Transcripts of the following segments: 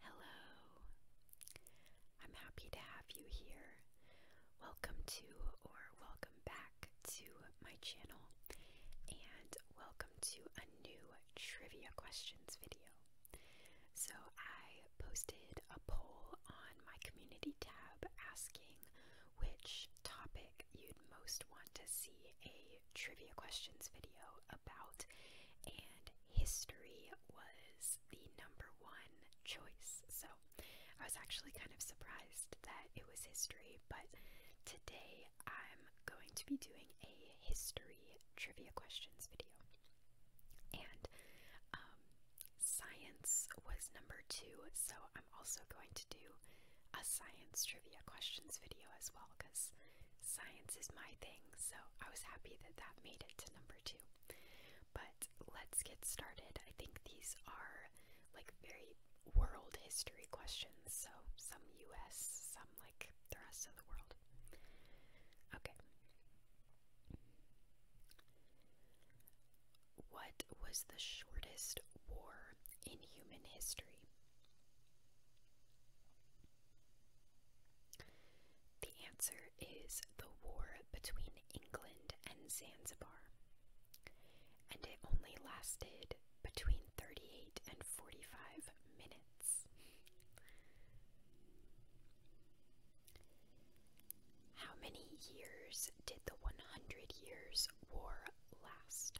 Hello. I'm happy to have you here. Welcome to or welcome back to my channel and welcome to a new trivia questions video. So I posted a poll on my community tab asking which topic you'd most want to see a trivia questions video about and history was the number one choice. So I was actually kind of surprised that it was history, but today I'm going to be doing a history trivia questions video. And um, science was number two, so I'm also going to do a science trivia questions video as well because Science is my thing, so I was happy that that made it to number two. But let's get started. I think these are like very world history questions, so some US, some like the rest of the world. Okay. What was the shortest war in human history? The answer is the war between England and Zanzibar, and it only lasted between 38 and 45 minutes. How many years did the 100 Years' War last?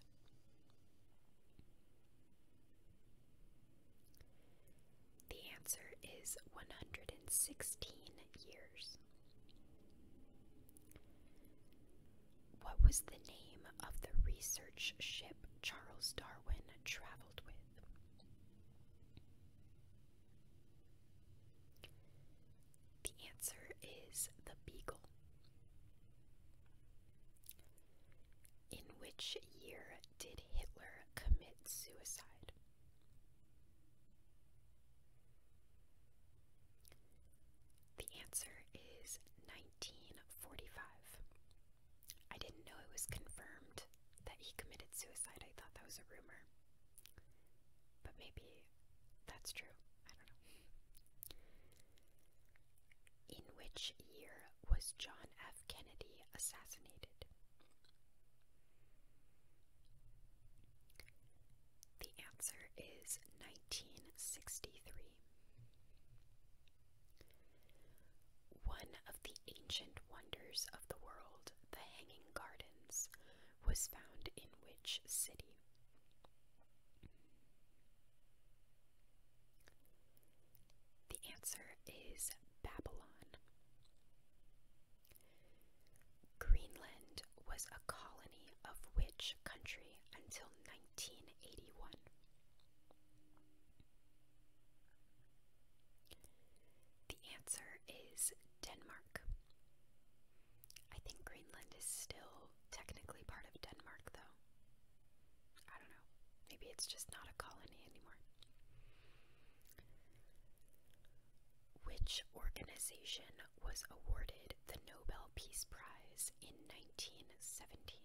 The answer is 116 years. What was the name of the research ship Charles Darwin traveled with? The answer is the Beagle. In which year did Hitler commit suicide? The answer is 1945. I didn't know it was confirmed that he committed suicide. I thought that was a rumor. But maybe that's true. I don't know. In which year was John F. Kennedy assassinated? The answer is 1963. One of the ancient wonders of the world, the Hanging Gardens, was found in which city? The answer is Babylon. Greenland was a colony of which country until 1981? The answer is Denmark. I think Greenland is still technically part of Denmark, though. I don't know. Maybe it's just not a colony anymore. Which organization was awarded the Nobel Peace Prize in 1917?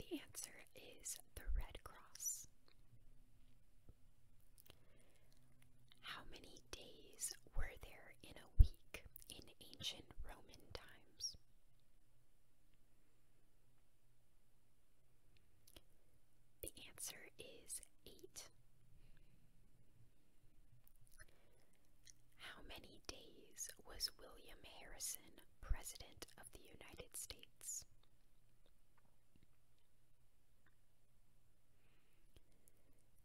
The answer is the Red Cross. How many days were there in a week in ancient Roman times. The answer is 8. How many days was William Harrison President of the United States?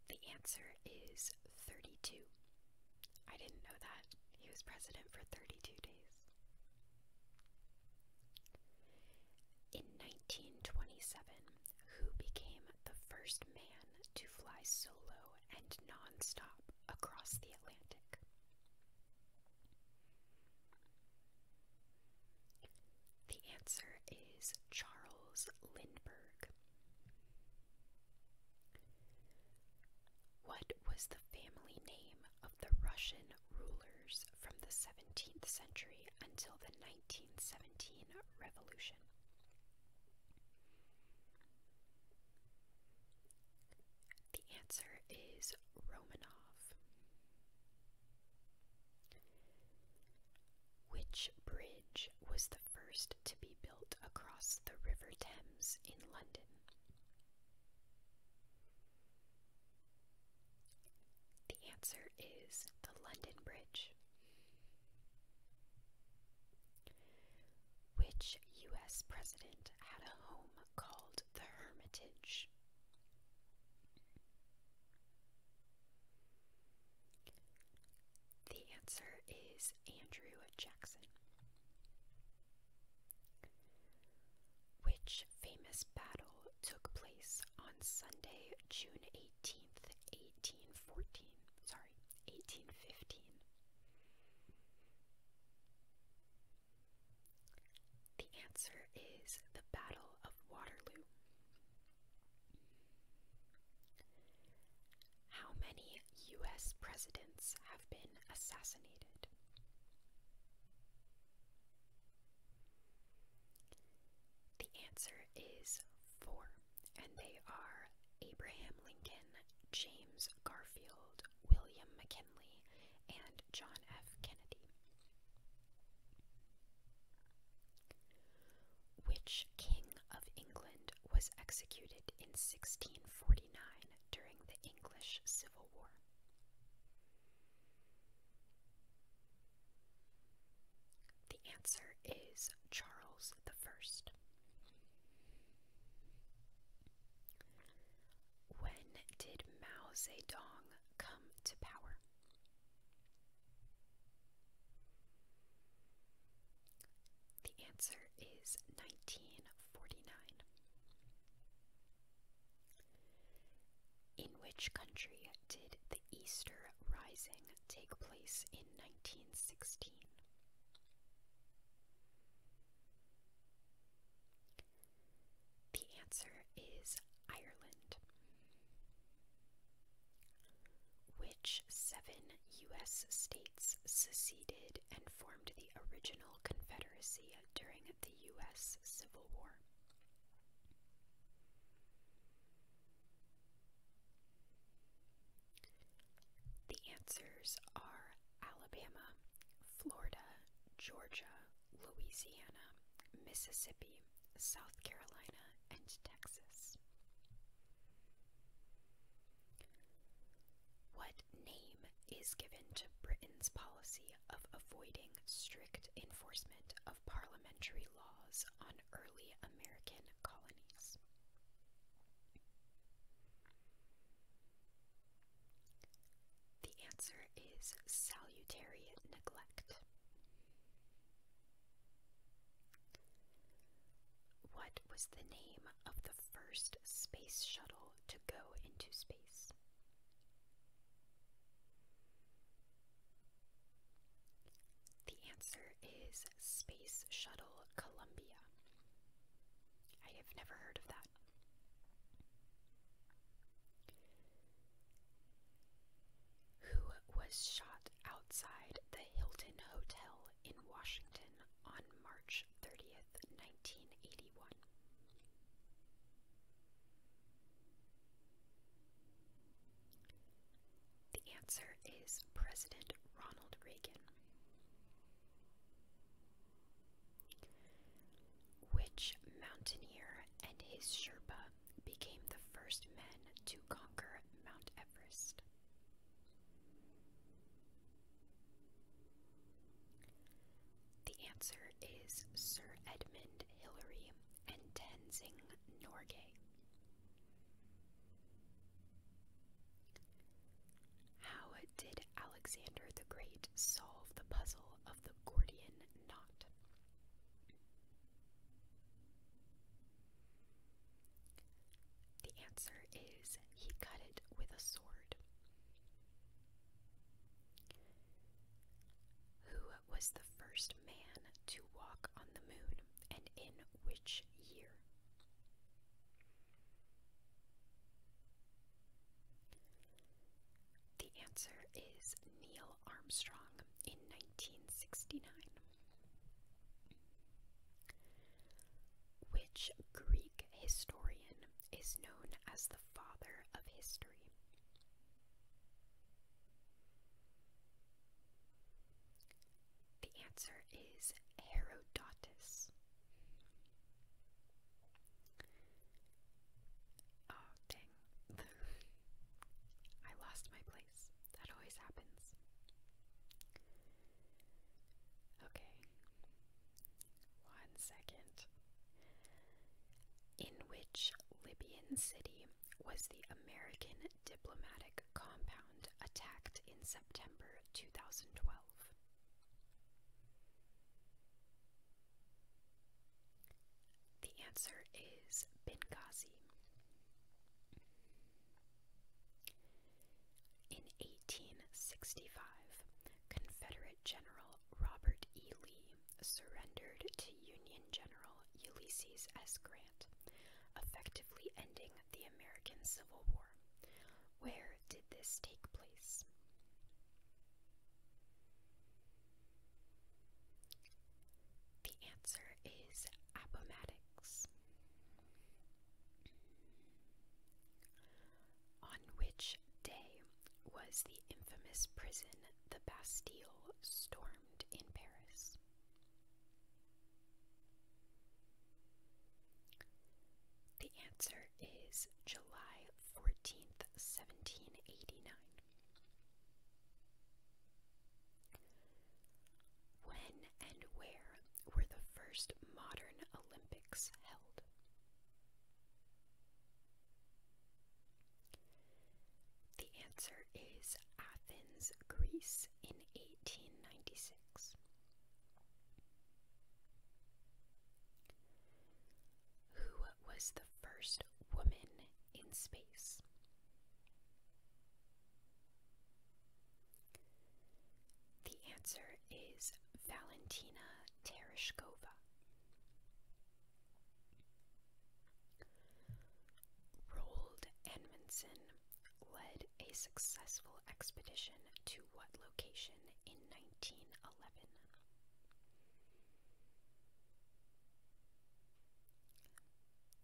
The answer is 32. I didn't know that. He was president for 32 days. In 1927, who became the first man to fly solo and non-stop across the Atlantic? The answer is Charles Lindbergh. What was the family name of the Russian rulers from the 17th century until the 1917 revolution? The answer is Romanov. Which bridge was the first to be built across the River Thames in London? The answer is the London Bridge. Which US president had a home called the Hermitage? The answer is Andrew Jackson. Which famous battle took place on Sunday, June 18th, 1814? Sorry, 1815. The answer is the Battle of Waterloo. How many US presidents have been assassinated? The answer is four, and they are Abraham Lincoln, James Garfield, William McKinley, and John F. Kennedy. Which king of England was executed in 1649 during the English Civil War? The answer is Charles the First. When did Mao Zedong come to power? The answer is 1949. In which country did the Easter Rising take place in 1916? The answer is Ireland. Which seven U.S. states seceded and formed the original Confederacy during the U.S. Civil War? The answers are Alabama, Florida, Georgia, Louisiana, Mississippi, South Carolina, and Texas. What name is given to Britain's policy of avoiding strict enforcement of parliamentary laws on early American colonies? The answer is salutary neglect. What was the name of the first space shuttle to go into space? The answer is Space Shuttle Columbia. I have never heard of that who was shot outside the Hilton Hotel in Washington on March 30th, 1981. The answer is President Ronald Reagan. Which mountaineer and his Sherpa became the first men to conquer Mount Everest? The answer is Sir Edmund Hillary and Tenzing Norgay. How did Alexander the Great solve the puzzle of the Gordian knot? The answer is he cut it with a sword. Who was the first man to walk on the moon and in which year? The answer is Neil Armstrong in 1969. Which Greek historian is known as the father of history? The answer is Herodotus. Oh, dang. I lost my place. That always happens. Okay. One second. In which Libyan city was the American diplomatic compound attacked in September 2012? The answer is Benghazi. In 1865, Confederate General Robert E. Lee surrendered to Union General Ulysses S. Grant, effectively ending the American Civil War. Where did this take place? The answer is Appomattox on which day was the infamous prison, the Bastille, stormed in Paris? The answer is July 14th, 1789. When and where were the first modern Olympics held? The answer is Athens, Greece in 1896. Who was the first woman in space? The answer is Valentina Tereshkova. Rold Edmondson led a successful expedition to what location in 1911?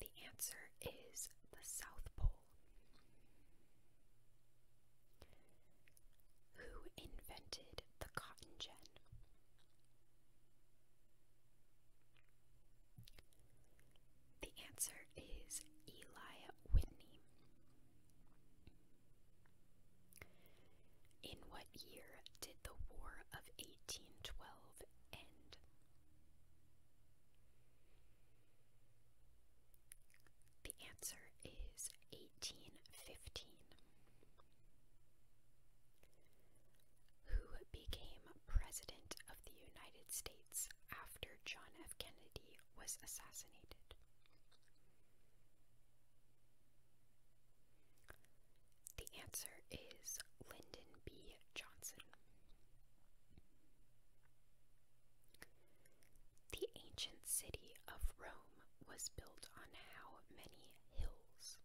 The answer is the South Pole. Who invented the cotton gin? The answer is Eli Whitney. In what year did the War of 1812 end? The answer is 1815. Who became President of the United States after John F. Kennedy was assassinated? The answer is Lyndon B. Johnson. The ancient city of Rome was built on how many hills?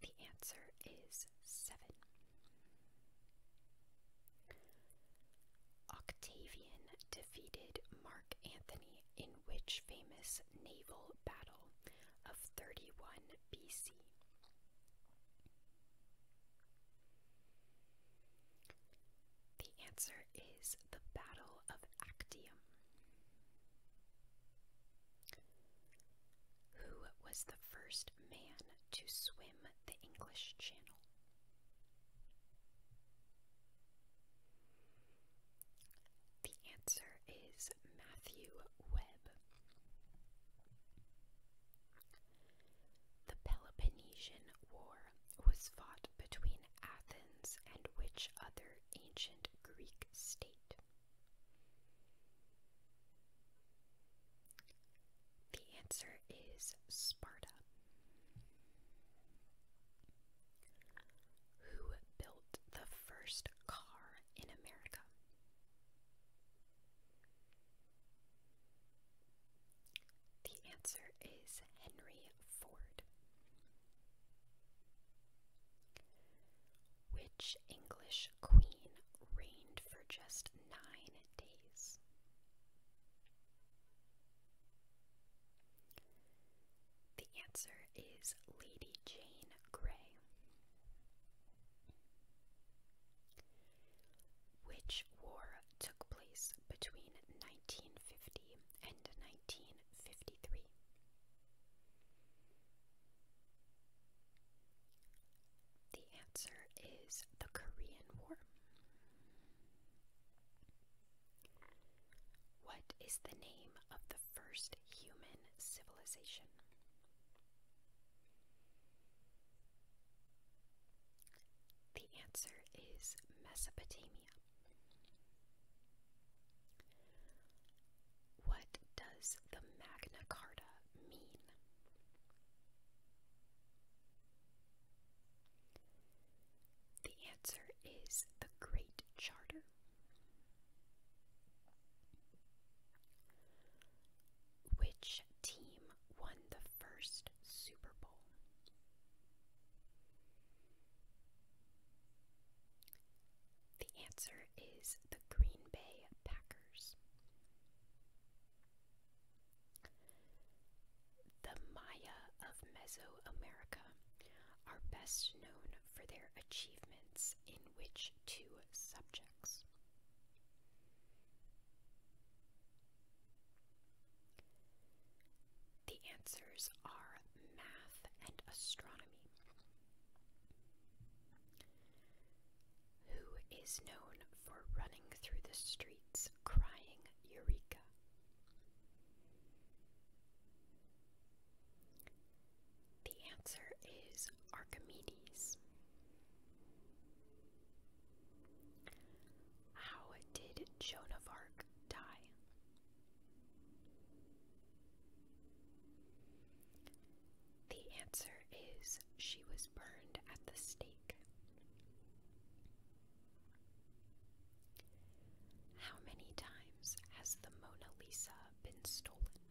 The answer is seven. Octavian defeated Mark Antony in which famous naval battle of 31 BC? The answer is the Battle of Actium. Who was the first man to swim the English Channel? The answer is Matthew Webb. The Peloponnesian War was fought between Athens and which other ancient Greek state? The answer is Sparta. Who built the first car in America. The answer is Henry Ford. Which English queen reigned for just nine days? The answer is Lady Jane Grey. Which war took place between 1950 and 1953? The answer is the Korean War. What is the name of the first human civilization? The answer is Mesopotamia. What does the Magna Carta mean? The answer is the Great Charter. Which team won the first Super Bowl? The answer is the Green Bay Packers. The Maya of Mesoamerica are best known for their achievements in which two subjects. The answers are math and astronomy. Who is known for running through the streets crying Eureka? The answer is Archimedes. How did Joan of Arc die? The answer is she was burned at the stake. How many times? has the Mona Lisa been stolen?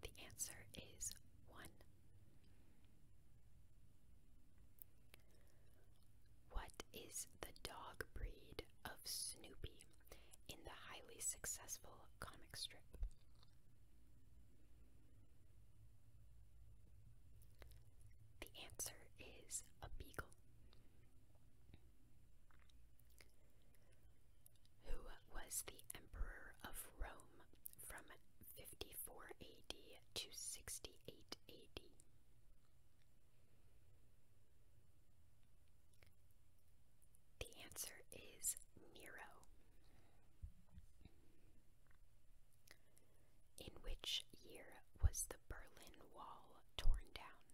The answer is one. What is the dog breed of Snoopy in the highly successful comic strip? The answer is a beagle. Who was the emperor of Rome from 54 AD to 68 AD? The answer is Nero. In which year was the Berlin Wall torn down?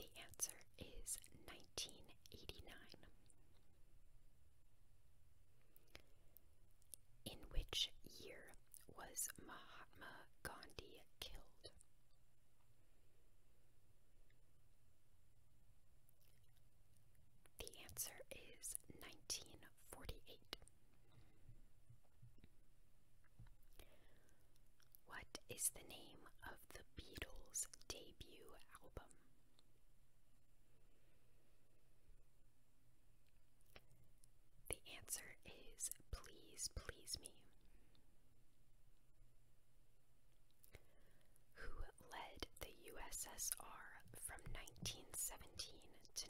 The answer is 1989. In which year was Mahatma Gandhi killed? The answer is 1948. What is the name of the Beatles' debut album? The answer is Please Please Me. Who led the USSR from 1917 to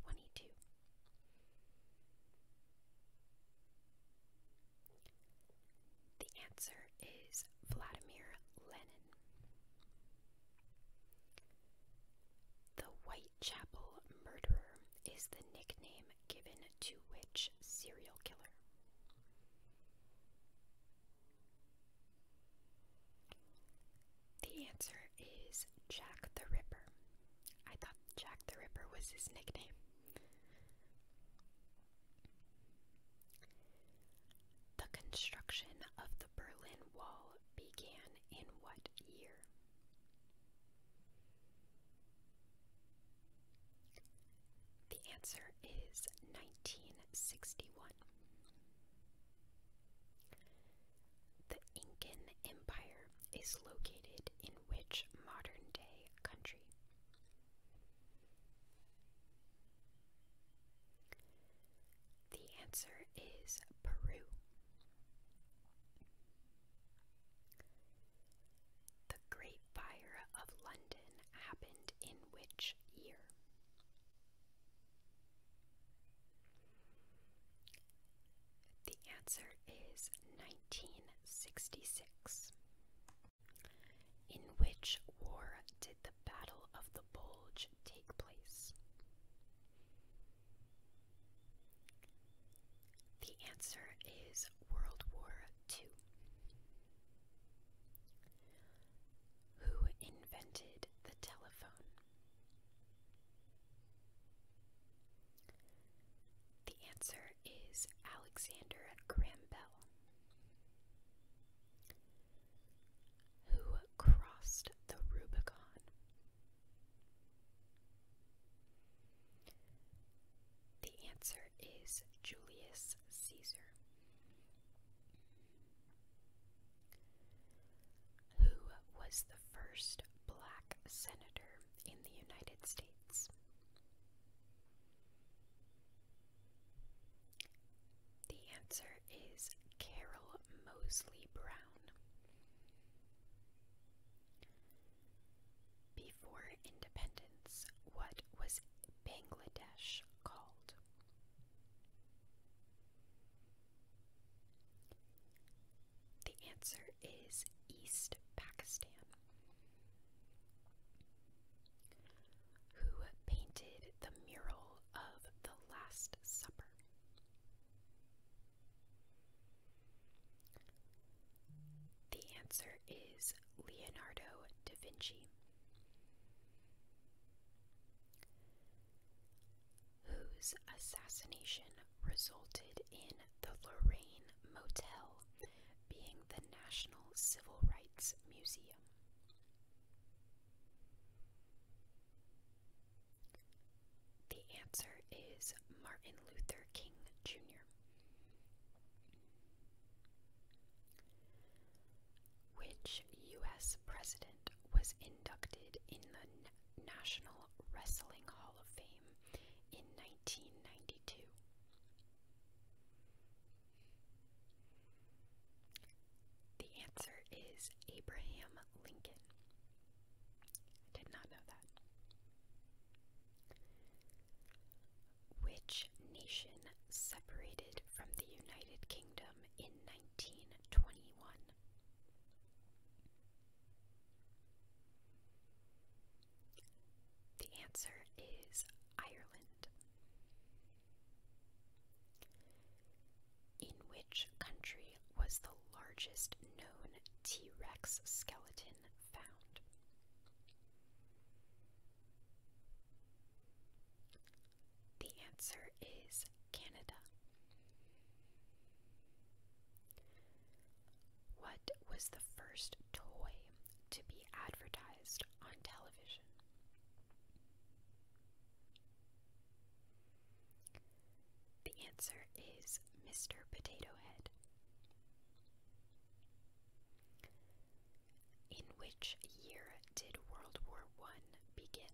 1922. The answer is Vladimir Lenin. The Whitechapel murderer is the nickname given to which serial killer? The answer is Jack the Ripper. I thought Jack the Ripper was his nickname. The construction of the Berlin Wall began in what year? The answer is 1961. The Incan Empire is located in which modern day country? The answer is Peru. The Great Fire of London happened in which year? The answer is 1966. In which war did the Battle of the Bulge take place? The answer is World War II. Who invented the telephone? The answer is Alexander Graham Bell. Who crossed the Rubicon? The answer is Julius Caesar. Who was the first black senator in the United States? The answer is Carol Mosley Brown. Before independence, what was Bangladesh called? The answer is East Pakistan. Who painted the mural of the Last Supper? The answer is Leonardo da Vinci whose assassination resulted in the Lorraine Motel being the National Civil Rights Museum. The answer is Martin Luther King Jr. Which U.S. president was inducted in the National Wrestling Hall of Fame in 1992? The answer is Abraham Lincoln. I did not know that. Which nation separated from the United Kingdom? in 1921. The answer is Ireland. In which country was the largest known T Rex skeleton found? The answer is Canada. What was the first toy to be advertised on television? The answer is Mr. Potato Head. In which year did World War I begin?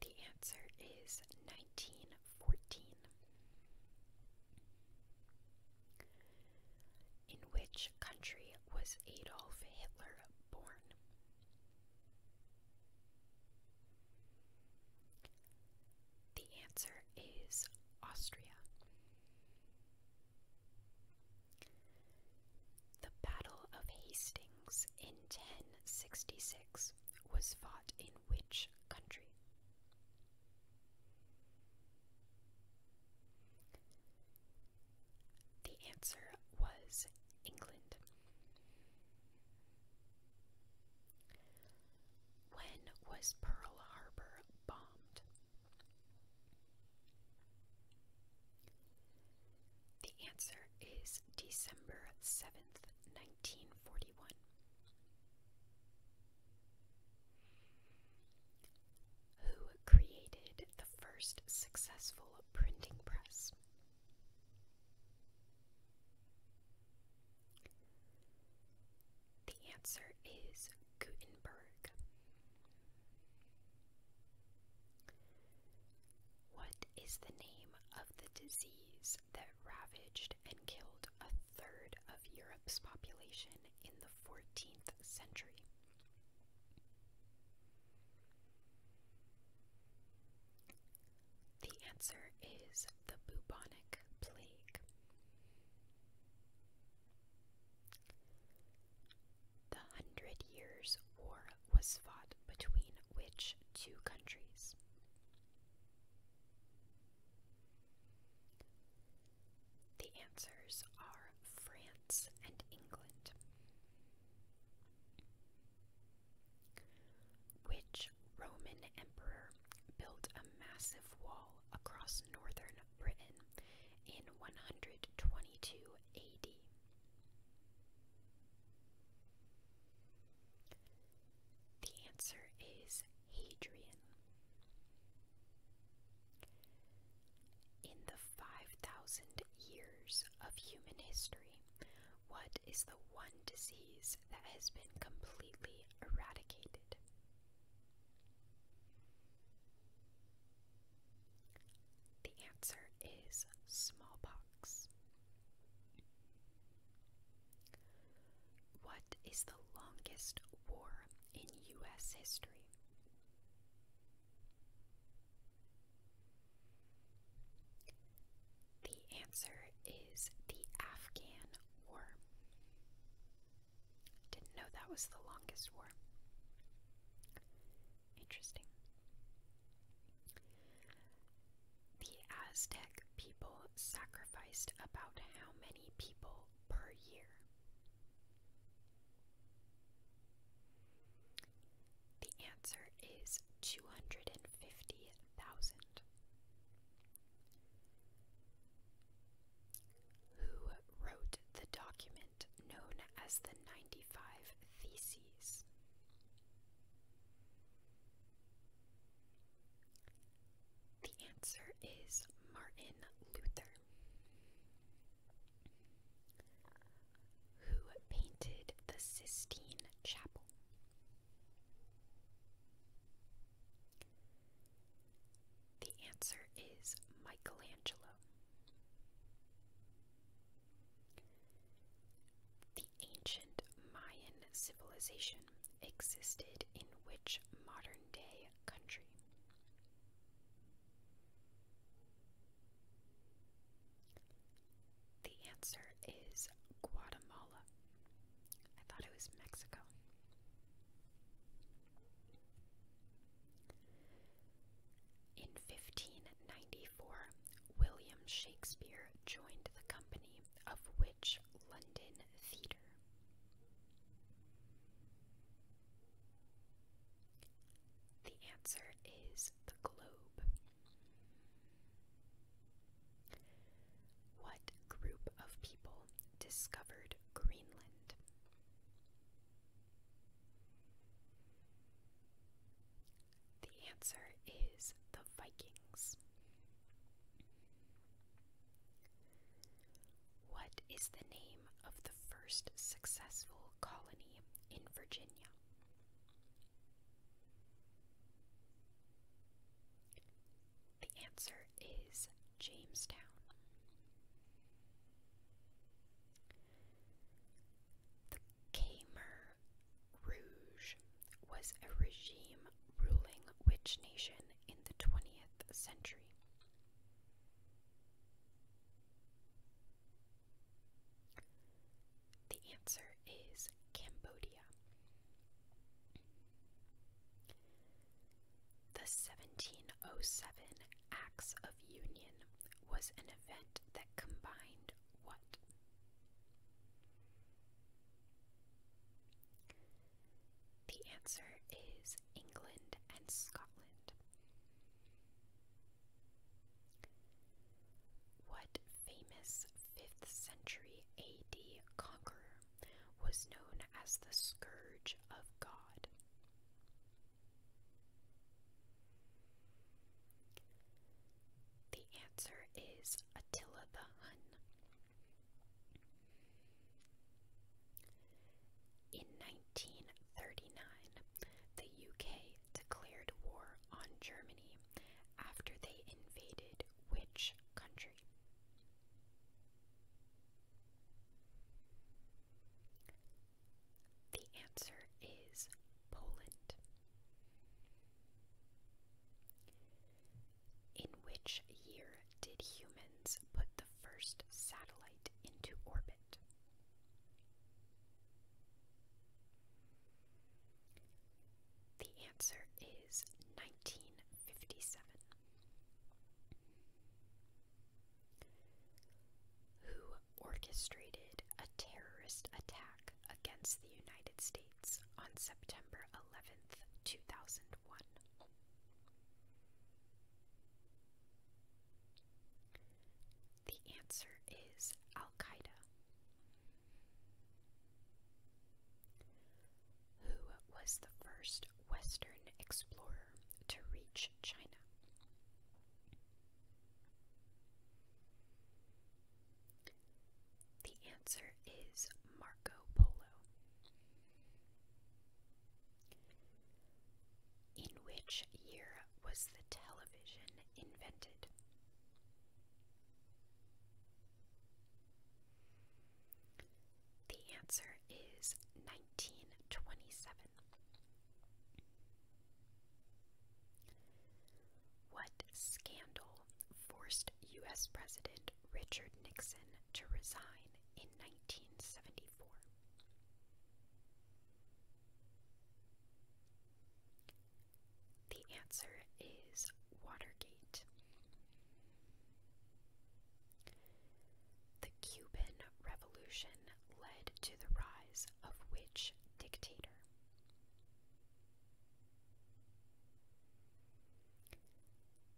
The answer is 1914. In which country was Adolf Hitler born? The answer is Austria. The Battle of Hastings in 1066 was fought in which country? The answer was England. When was Pearl Harbor the answer is December 7th, 1941. Who created the first successful printing press? The answer is Gutenberg. What is the name of the disease that ravaged and killed a third of Europe's population in the 14th century? The answer is the bubonic plague. The Hundred Years' War was fought between which two countries? The answers are France and England. Which Roman emperor built a massive wall across northern Britain in 122 AD. The answer is Hadrian. In the 5,000 years of human history, what is the one disease that has been completely eradicated? The answer is smallpox. What is the longest war in U.S. history? The answer is the Afghan War. Didn't know that was the longest war. Interesting. The Aztec people sacrificed about how many people per year? The answer is 250,000 who wrote the document known as the 95 Theses. The answer is Martin Luther, who painted the Sistine Chapel. The answer is Michelangelo. The ancient Mayan civilization existed in which modern day country? The answer is Guatemala. I thought it was Mexico. In 1594, William Shakespeare joined the company of which London Theatre. The answer is the Globe. What group of people discovered Greenland? The answer is the Vikings. What is the name of the first successful colony in Virginia? The answer is Jamestown. The Khmer Rouge was a regime ruling which nation in the 20th century? The answer is Cambodia. The 1707 Acts of Union was an event that combined what? The answer is England and Scotland. What famous 5th century AD conqueror was known as the Scourge of God. The answer is Attila the Hun. In 1939, the UK declared war on Germany after they invaded which country? The answer is Poland. In which year did humans put the first satellite into orbit? The answer is 1957 who orchestrated a terrorist attack against the United States on September 11th, 2001. The answer is Al Qaeda who was the first Western explorer to reach China. The answer is Marco Polo. In which year was the television invented? The answer is 1927. What scandal forced U.S. President Richard Nixon to resign in 1974? The answer is Watergate. The Cuban Revolution led to the rise of which dictator?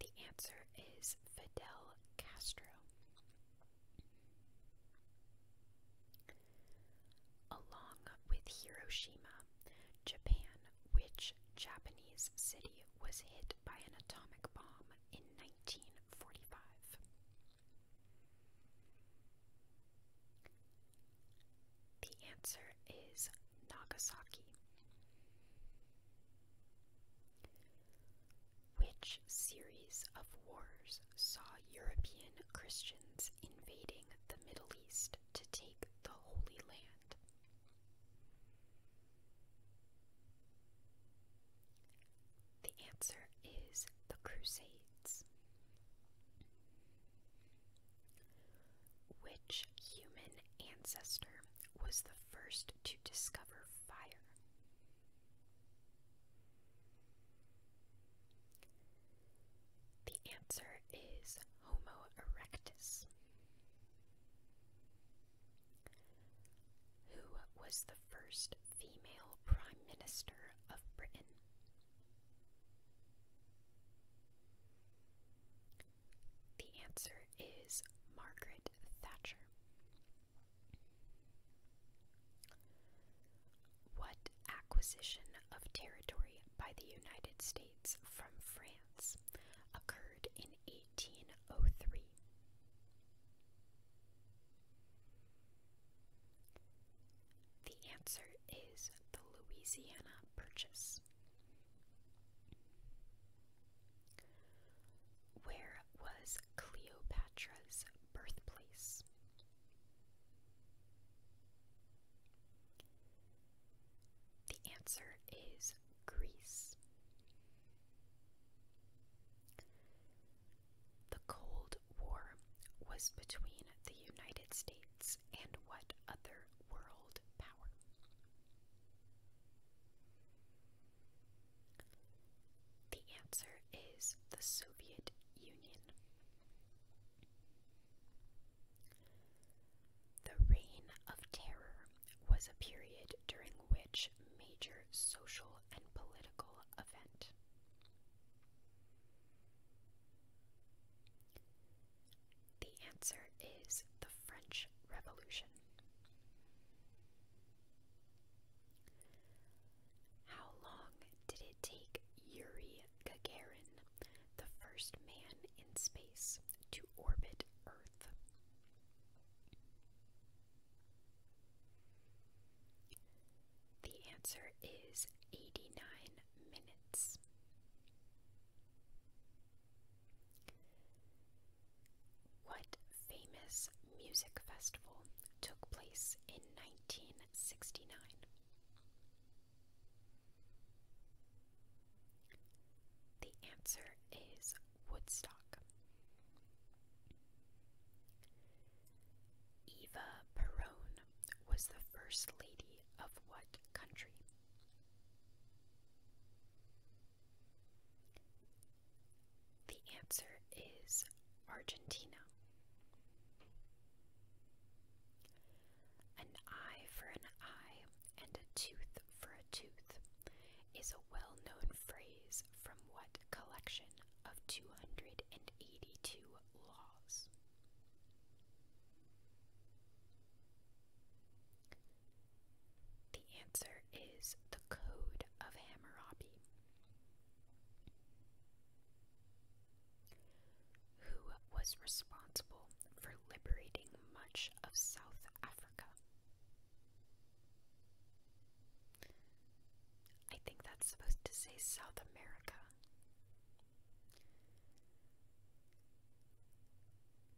The answer is Fidel Castro. Along with Hiroshima, Japan which Japanese city was hit by an atomic bomb in 1945? The answer is Nagasaki. Which series of wars saw European Christians invading the Middle East to take the Holy Land? The answer is the Crusades. Which human ancestor was the first to discover fire? The answer is Homo erectus. Who was the first female Prime Minister of Britain? The answer is Margaret Thatcher. What acquisition of territory by the United States from France occurred in 1803. The answer is the Louisiana Purchase. Where was Cleopatra's birthplace? The answer is Greece. The Cold War was between the United States and what other world power? The answer is the Soviet Union. The Reign of Terror was a period during which major social and political event. The answer is the French Revolution. How long did it take Yuri Gagarin, the first man in space, to orbit Earth? The answer is 89 minutes. What famous music festival took place in 1969? The answer is Woodstock. Eva Perón was the first lady of what country? The answer is Argentina. An eye for an eye and a tooth for a tooth is a well known phrase from what collection of 282 laws? The answer is the Code of Hammurabi. Who was responsible for liberating much of South Africa? I think that's supposed to say South America.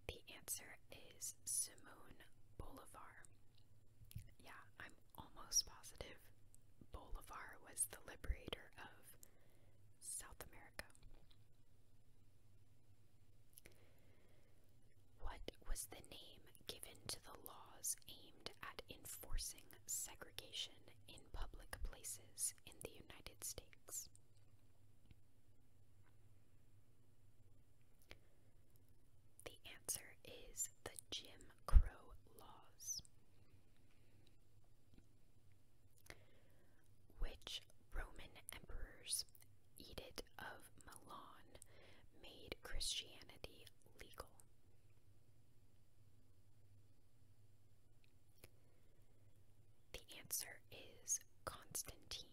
The answer is Simón Bolivar. Yeah, I'm almost positive Bolivar was the liberator of South America. What was the name given to the laws aimed at enforcing segregation in public places in the United States? The answer is the Jim Crow laws. Which Roman emperors Edict of Milan made Christianity legal. The answer is Constantine.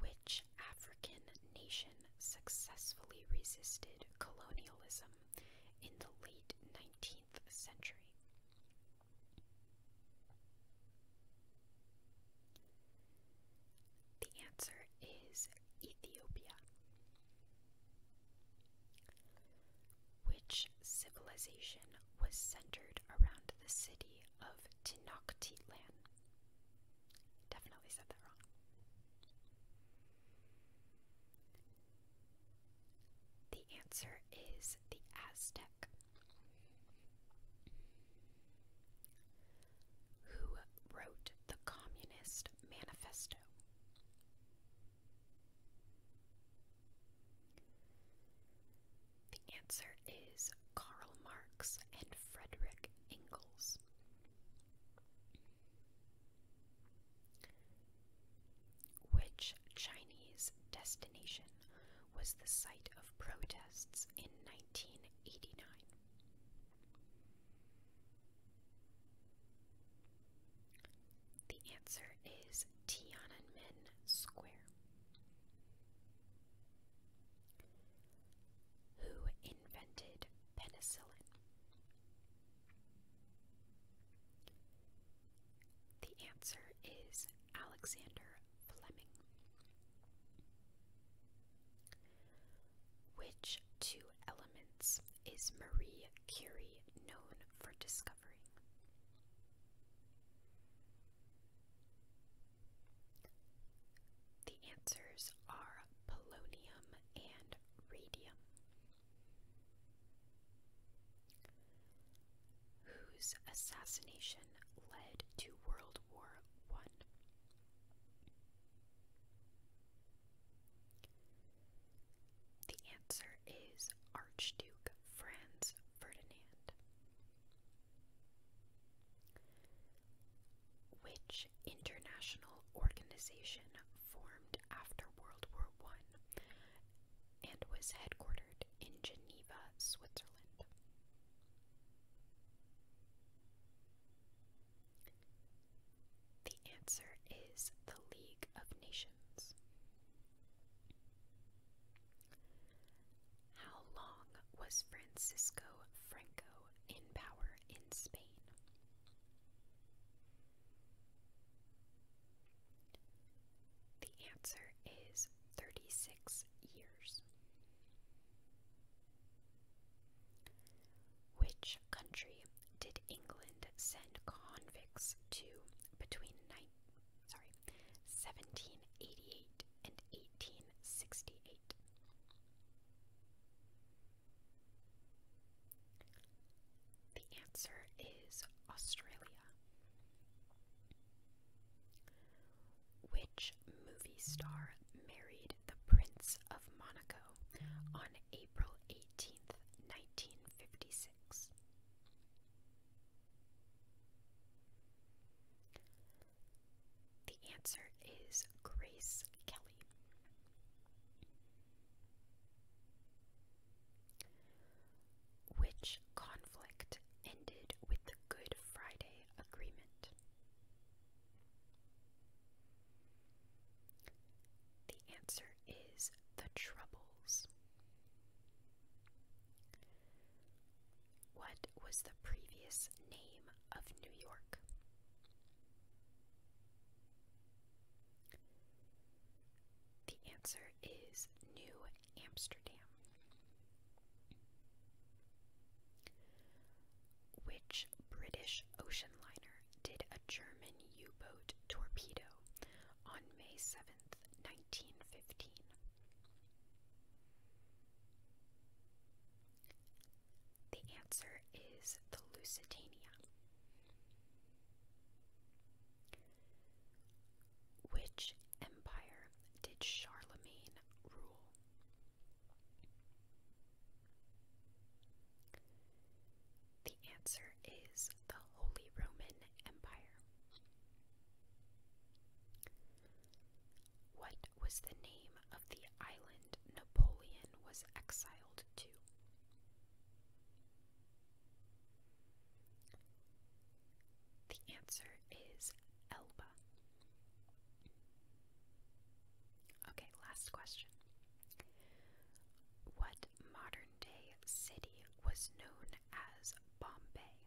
Which African nation successfully resisted colonialism in the late 19th century? The answer is Ethiopia. Which civilization was centered around the city of Tenochtitlan? Definitely said that wrong. The answer is the Aztec. Who wrote the Communist Manifesto? The answer is Karl Marx and Frederick Engels. Which Chinese destination was the site of protests in 1989? The answer is Tiananmen Square. Who invented penicillin? The answer is Alexander Fleming. Which two elements is Marie Curie known for discovering? The answers are polonium and radium whose assassination led to World War I. The answer is Archduke Franz Ferdinand. Which international organization formed after World War I and was headquartered in Geneva, Switzerland. The answer is the League of Nations. How long was Francisco Franco in power in Spain? The answer is 36 years. Which country did England send convicts to between nine, sorry, 1788 and 1868? The answer is Australia. Which movie star married the Prince of Monaco on April 18th, 1956? The answer is Grace Kelly which conflict ended with the Good Friday Agreement. The answer is the Troubles. What was the previous name of New York? The answer is New Amsterdam. Which British ocean liner did a German U boat torpedo on May 7th, 1915? The answer is the Lusitania. Which empire did Charlemagne rule? The answer is the Holy Roman Empire. What was the name of the island Napoleon was exiled to? The answer is Elba. Okay, last question. What modern day city was known as Bombay?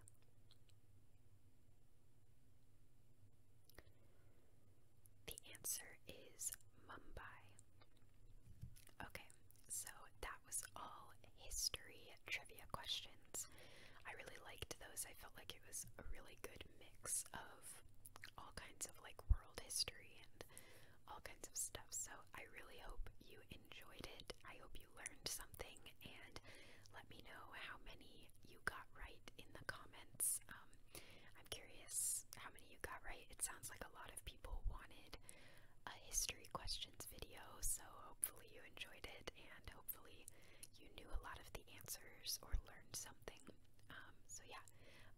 The answer is Mumbai. Okay, so that was all history trivia questions. I really liked those. I felt like it was a really good mix of all kinds of like world history and all kinds of stuff. So I really hope you enjoyed it. I hope you learned something and let me know how many you got right in the comments. Um, I'm curious how many you got right. It sounds like a lot of people people wanted a history questions video, so hopefully you enjoyed it and hopefully you knew a lot of the answers or learned something. Um, so, yeah,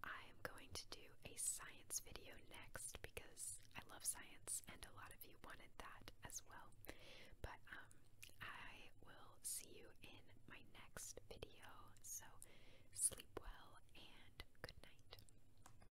I'm going to do a science video next because I love science and a lot of you wanted that as well. But um, I will see you in my next video, so sleep well and good night.